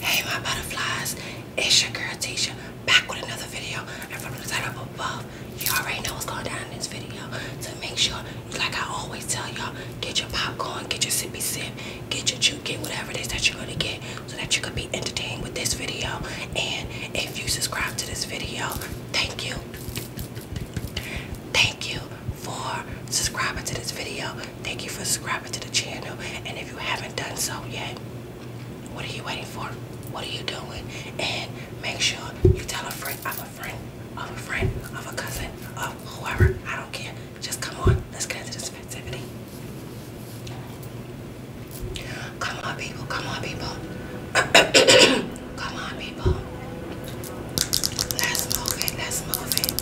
Hey my butterflies, it's your girl Tisha back with another video and from the title above you already know what's going down in this video so make sure like I always tell y'all get your popcorn, get your sippy sip, get your chew, get whatever it is that you're gonna get so that you could be entertained with this video and if you subscribe to this video thank you Thank you for subscribing to this video. Thank you for subscribing to the channel. And if you haven't done so yet, what are you waiting for? What are you doing? And make sure you tell a friend of a friend of a friend of a cousin of whoever. I don't care. Just come on. Let's get into this festivity. Come on, people. Come on, people. Come on, people. Let's move it. Let's move it.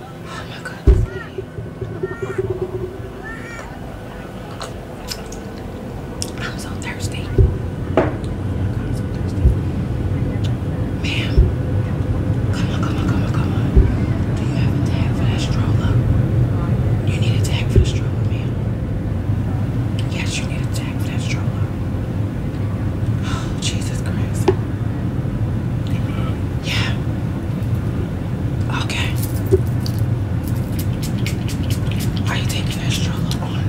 Oh my goodness. I'm so thirsty. Ma'am, come on, come on, come on, come on. Do you have a tag for that stroller? You need a tag for the stroller, ma'am. Yes, you need a tag for that stroller. Oh, Jesus Christ. Yeah. Okay. Are you taking that stroller on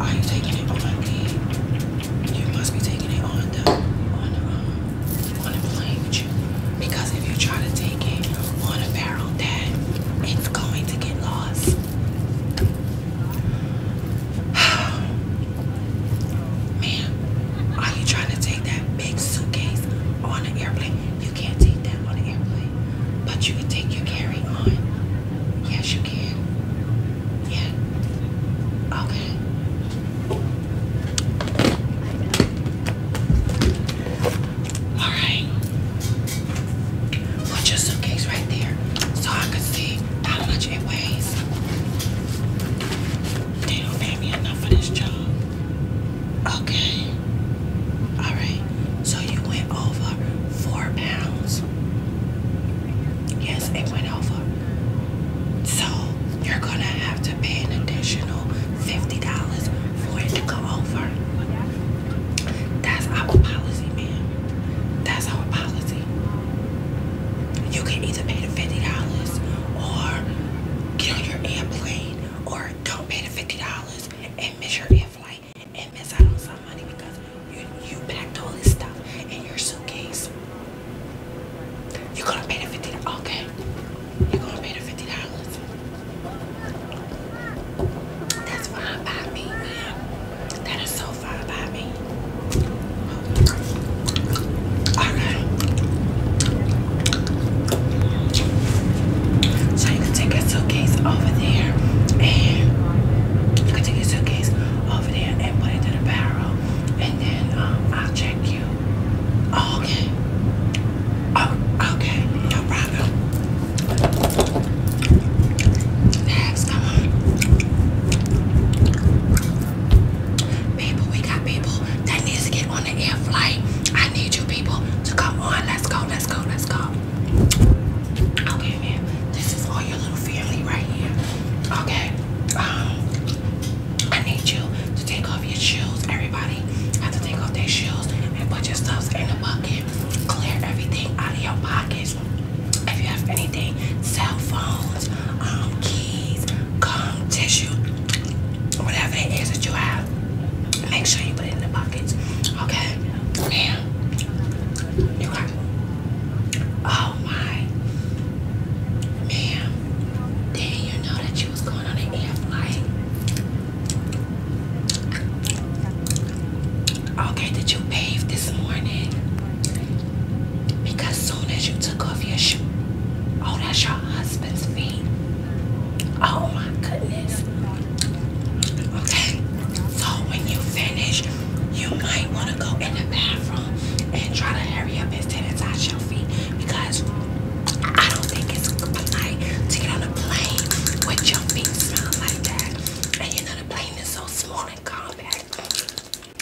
are you taking it on the, you must be taking it on the, on the, um, on the plane with you. Because if you try to take it on a apparel that it's going to get lost. Man, are you trying to take that big suitcase on an airplane? You can't take that on an airplane, but you can take your carry on. Yes, you can. Yeah. Okay. All right. Put your suitcase right there so I can see how much it weighs. They don't pay me enough for this job. Okay. All right. So you went over four pounds. Yes, it went over. So you're gonna have to pay an additional fifty dollars for it to go over. That's our policy, man. That's our policy. You can either pay the fifty dollars or get on your airplane or don't pay the fifty dollars and miss your air flight and miss out on some money because you you packed all this stuff in your suitcase. You're gonna pay the fifty dollars. Okay. You're gonna pay the fifty dollars. That's fine by me, man. That is so fine by me. Alright. So you can take your suitcase over there and you can take your suitcase over there and put it to the barrel and then um, I'll check you. okay. Oh, okay, no problem. That's gone. People, we got people that needs to get on the air flight. I need you people to come on. Let's go, let's go, let's go. Okay, man. This is all your little family right here. Okay. Um I need you to take off your shoes. Everybody have to take off their shoes and put your stuffs in the bucket clear everything out of your pockets. If you have anything, cell phones, um, keys, gum, tissue, whatever it is that you have, make sure you put it in the pockets. Okay? Now, you got Oh my. Ma'am, you know that you was going on an air Okay, did you bathe this morning? Because soon as you took off your shoe, oh, that's your husband's feet. Oh my goodness. Okay, so when you finish, you might want to go in the bathroom and try to hurry up and sanitize your feet because I don't think it's polite to get on a plane with your feet smell like that. And you know the plane is so small and compact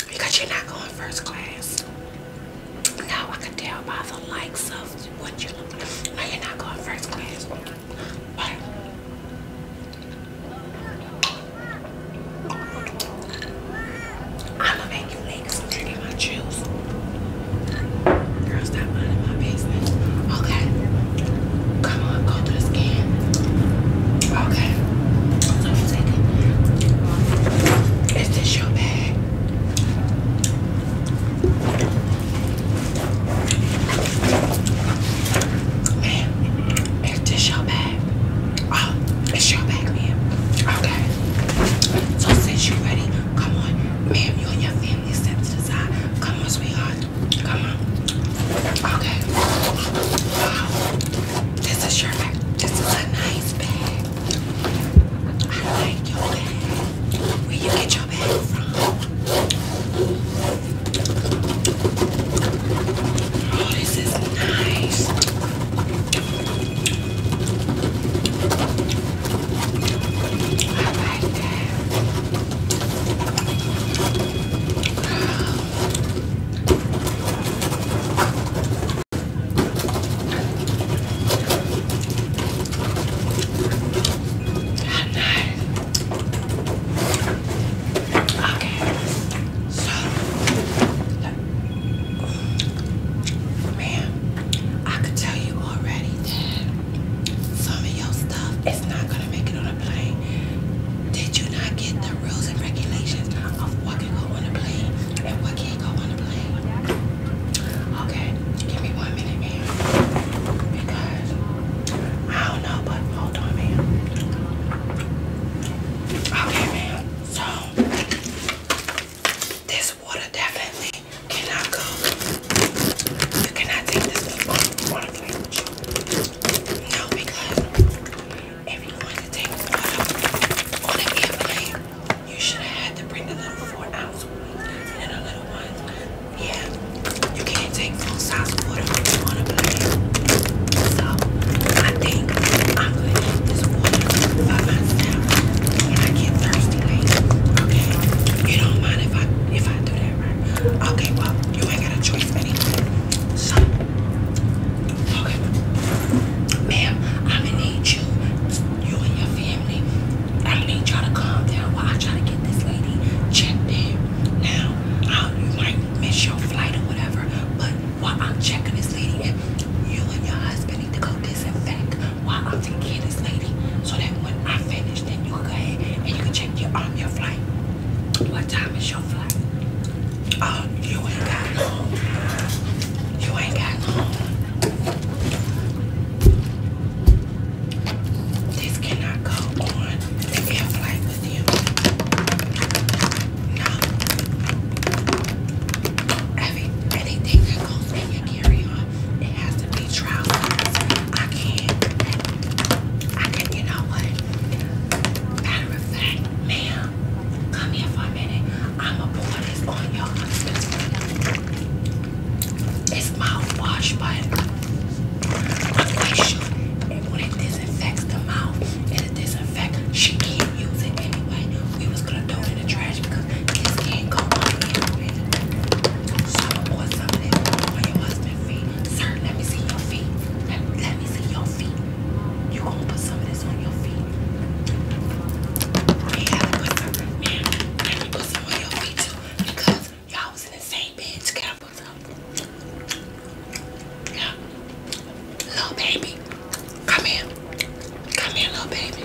because you're not going first class. Now I can tell by the likes of what you look like. No, you're not going first class. I'm going you make some drink in my juice. Girl, stop minding my business. Okay. Come on, go to the scan. Okay. So you it. Is this your bag? Man, is this your bag? Oh, it's your bag, ma'am. Okay. So since you're ready, come on, ma'am, you and your family. Come on, sweetheart. Come on. Okay. Wow. This is your bag. This is a nice bag. I like your bag. Where you get your bag from? Oh, this is nice. I like that. Man, I could tell you already some of your stuff is not gonna make it on a plane. Did you not get the rules and regulations of what can go on a plane and what can't go on a plane? Okay, give me one minute, ma'am. Because I don't know, but hold on, ma'am. Okay, ma'am. So this water definitely cannot go. You cannot take this water fridge. No, because if you want to take water on an airplane, you should have had to bring the little four ounce ones and the little ones. Yeah, you can't take full size water on a plane. So I think I'm gonna eat this water by myself when I get thirsty later. Okay, you don't mind if I if I do that right. Okay, well, you ain't got a choice anyway. So, okay. Ma'am, I'm gonna need you, you and your family, I need y'all to calm down while I try to get this lady checked in. Now, I, you might miss your flight or whatever, but while I'm checking this lady in, you and your husband need to go this disinfect while I'm taking care this lady so that when I finish, then you can go ahead and you can check your um your flight. What time is your flight? Oh, you ain't got no, You ain't got long. This cannot go on the air flight with you. No. Every, anything that goes it has to be trousers. I can't. I can. You know what? Matter of fact, ma'am, come here for a minute. I'ma pour this on your It's mouthwash, but I'm sure and when it disinfects the mouth and it disinfects, she can't use it anyway. We was gonna throw it in the trash because this can't Shout or something on your husband's feet. Sir, let me see your feet. Let, me see your feet. You gonna put some of this on your feet. Yeah, put some. on your feet too. Because y'all was in the same bed together. Yeah. Little baby. Come here. Come here, little baby.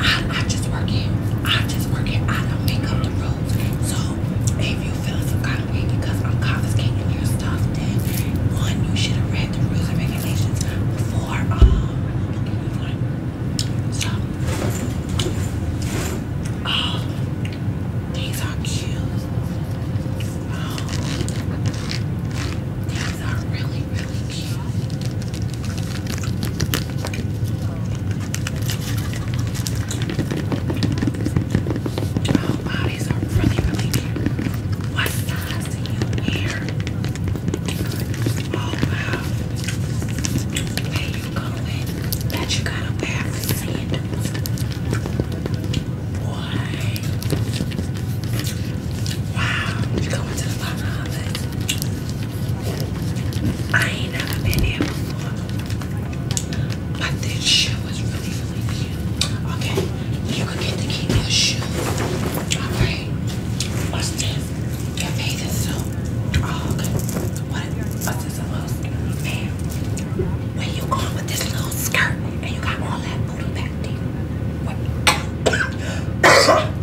I, I just work here. I just work here. I don't make up the rules. So if you feel some kind of way because I'm confiscating your stuff, then one, you should have read the rules and regulations before um so oh, these are cute. Oh, these are really, really cute. Oh these are really, really cute. What size do you wear? Oh wow. Where you going? That you gotta wear the Wow, you going to the Bahamas? I ain't never been here before. But this shit was really, really cute. Okay, you could get to keep your shoe. Alright. What's this? Your bathing suit. Oh, okay. What? What's this? A little skirt? Man, where you going with this little skirt? And you got all that booty back there. What?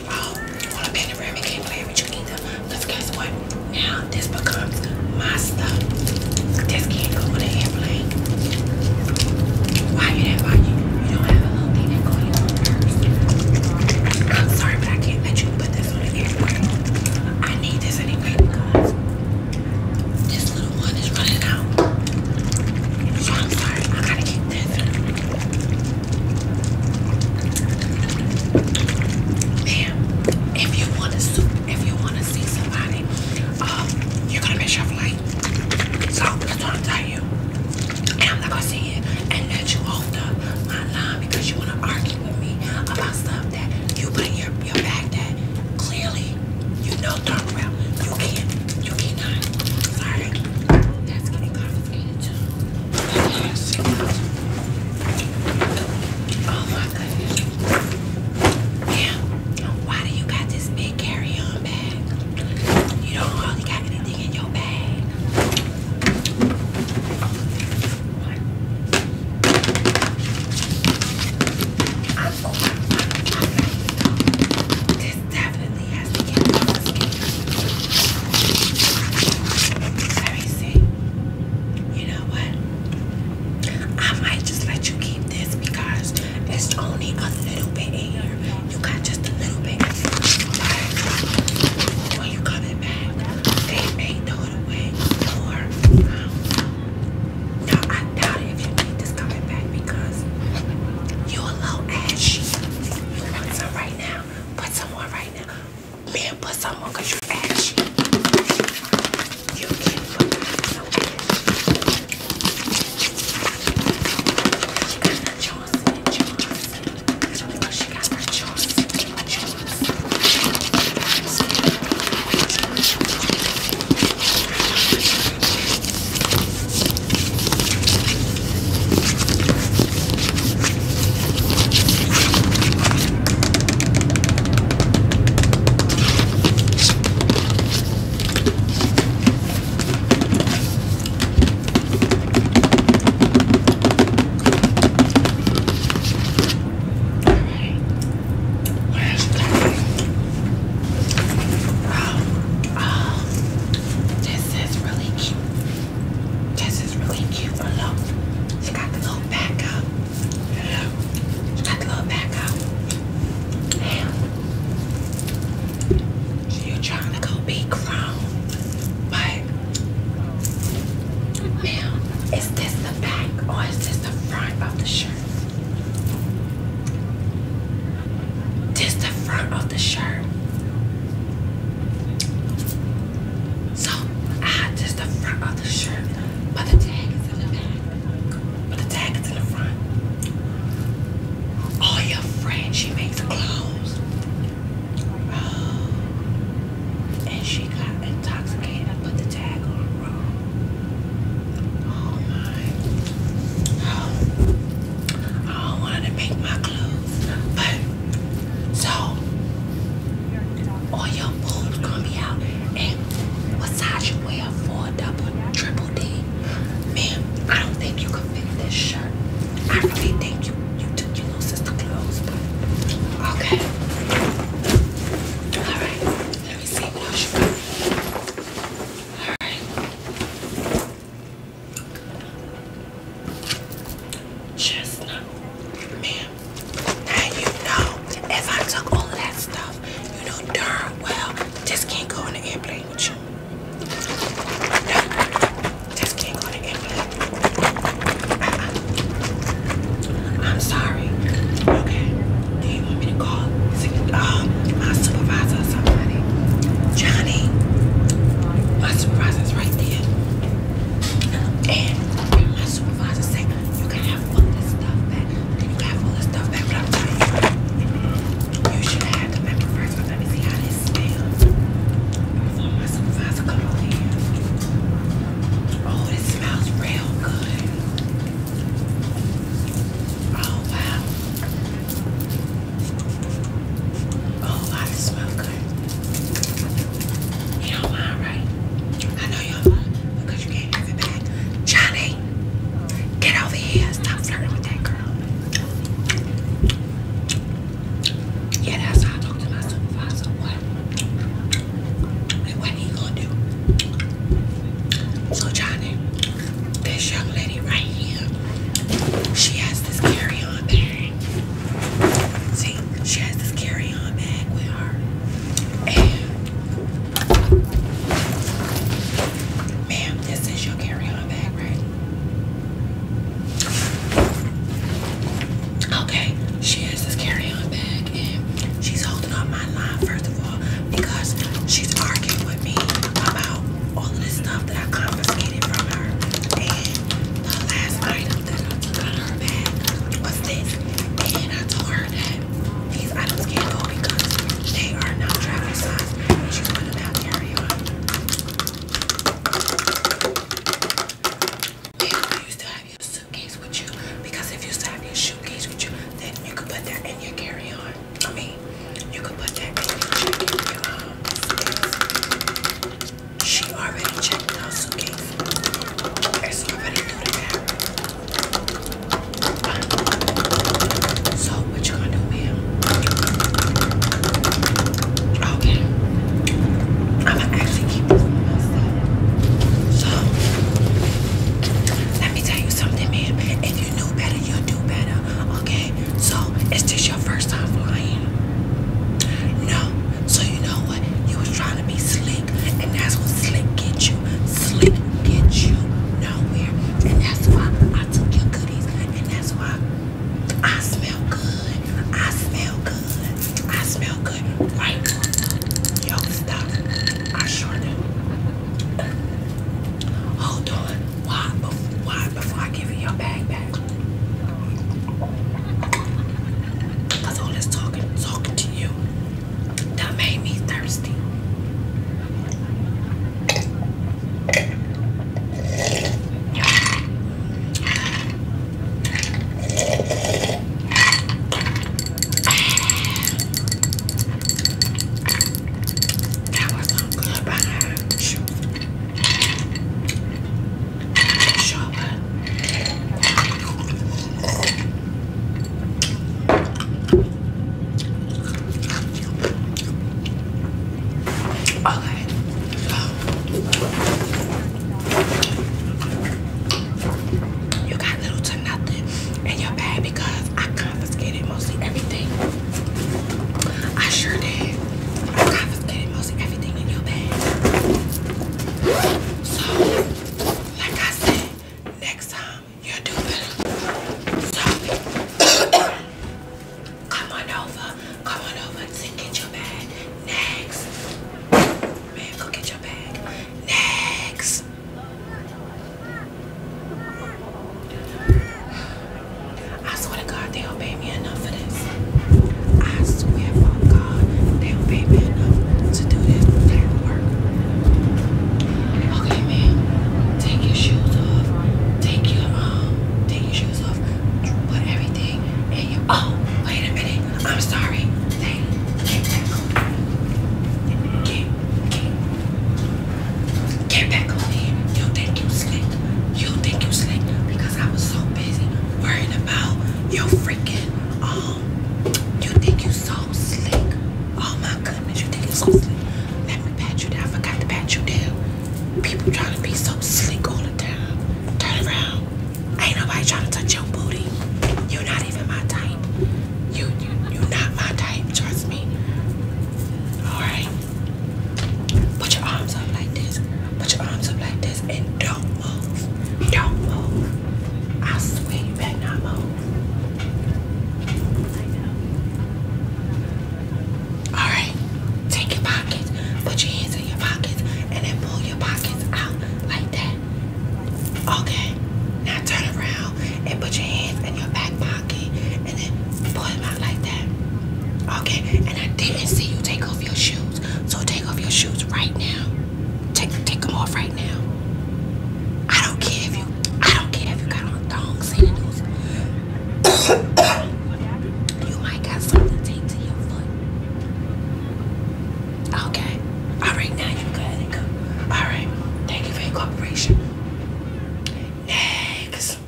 um, on a panoramic can't play with you either. Because guess what? Now this becomes my stuff. This can't go on an airplane. Why you that? Why you? You don't have a thing that goes in your I'm sorry, but I can't let you put this on an airplane. I need this anyway because this little one is running out. I'm sorry. I gotta keep and if you want to see somebody, um, you're gonna miss your flight. So that's what I'm telling you. I'm not gonna see you and let you off the my line because you wanna argue with me about stuff that you put in your, your bag that clearly you know darn well you can't you cannot. Sorry. That's getting confiscated too. Oh my goodness. Why do you got this big carry-on bag? You don't hardly got anything in your bag. I'm so, i definitely let me see. You know what? I might just let you keep this because it's only a little bit here. You got just a little bit. when you coming back, they may throw it away no, I doubt if you need this coming back because you a little ashy. You some right now? Put some more right Man, put some on because you're ashy. You can put some on. She got her Johnson and Johnson. So she got her Johnson and Johnson. Where's that? Oh, oh, this is really cute. This is really cute. Look, she got the little back up. She got the little back up. Damn. So trying to go be grown, but now is this the back or is this the front of the shirt? This the front of the shirt. So I just the front of the shirt, but the tag is in the back. But the tag is in the front. Oh, your friend, she makes clothes. Oh. And she got intoxicated and put the tag on wrong. Oh my. I don't want to make my clothes, but so all your boobs gonna be out. And what size you wear for double, triple D? Man, I don't think you can fit this shirt. I really think you you took your little sister clothes, okay. All right, let me see what else All right. Chestnut. Man, now you know if I took all of that stuff, you know darn well just can't go on the airplane with you. No, just can't go on the airplane. Uh-uh. I'm sorry. Okay. Do you want me to call uh, my supervisor somebody? Johnny, my supervisor's right there. And my supervisor said, you can have all this stuff back. You can have all this stuff back, but I'm telling you, you should have had the member let me see how this smells. my supervisor come over here. Oh, this smells real good. Oh, wow. Oh, wow, smells good. You don't mind, right? I know you don't mind because you can't give it back. Johnny, get over here. Stop flirting with that girl. Yeah, that's how I talk to my supervisor. What? Like, what he gonna do? So, Johnny, this young lady right here, she has this carry-on bag. See, she has this carry-on bag with her. ma'am, this is your carry-on bag, right? Okay, she has this carry-on bag and she's holding on my line first of all because she's arguing with me about all of the stuff that I confiscated from her. And the last item that I took out of her bag was this. And I told her that these items can't go because they are not travel size. And she's going to now carry on. And you still have your suitcase with you because if you still your suitcase with you, then you could put that in your carry-on. I mean, you could put that in your check-in. Um, she already checked out suitcase. There's already through the bathroom. So what you gonna do, ma'am? Okay. I'ma actually keep this on So let me tell you something, ma'am. If you knew better, you'll do better. Okay? So, it's just your first time flying? No. So, you know what? You was trying to be slick, and that's what slick gets you. Slick gets you nowhere. And that's why I took your goodies, and that's why I smell good. I smell good. I smell good. Right? Yo, stop. I sure do. Hold on. Why? Why before I give you your bag back. all this talking, talking to you, that made me thirsty. That was some good behind shoes. Inshallah. Okay. Um, you got little to nothing in your bag because I confiscated mostly everything. I sure did. I confiscated most everything in your bag. So, like I said, next time you do better. So, come on over. Come on over and get your bag next. Man, go get your bag next. I swear to God, they don't pay me enough for this. I swear for God, they don't pay me enough to do this type of work. Okay, man, take your shoes off. Take your um, take your shoes off. Put everything in your. Oh, wait a minute. I'm sorry. Take, take that. Get, get. Get back on me. You think you slick. You think you slick because I was so busy worrying about your freaking um you think you so slick. Oh my goodness, you think you so slick. Let me pat you down. I forgot to pat you down. People trying to be so slick all the time. Turn around. Ain't nobody trying to touch your booty. You're not even my type. You you you're not my type, trust me. Alright. Put your arms up like this. Put your arms up like this and don't move. Don't move. I swear you better not move. Alright. Take your pockets. Put your hands in your pockets and then pull your pockets out like that. Okay. Now turn around and put your hands in your back pocket and then pull him out like that. Okay, and I didn't see you take off your shoes. So take off your shoes right now. Take take them off right now. I don't care if you I don't care if you got on thongs sandals. you might got something taped to your foot. Okay. Alright, now you got it. Alright. Thank you for your cooperation. Next.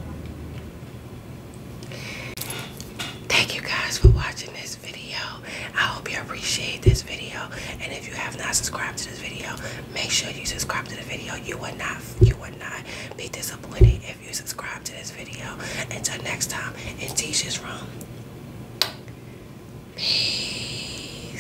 Thank you guys for watching this video. I hope you appreciate this video. And if you have not subscribed to this video, make sure you subscribe to the video. You will not you will not be disappointed if you subscribe to this video. Until next time, in Tisha's room. Peace.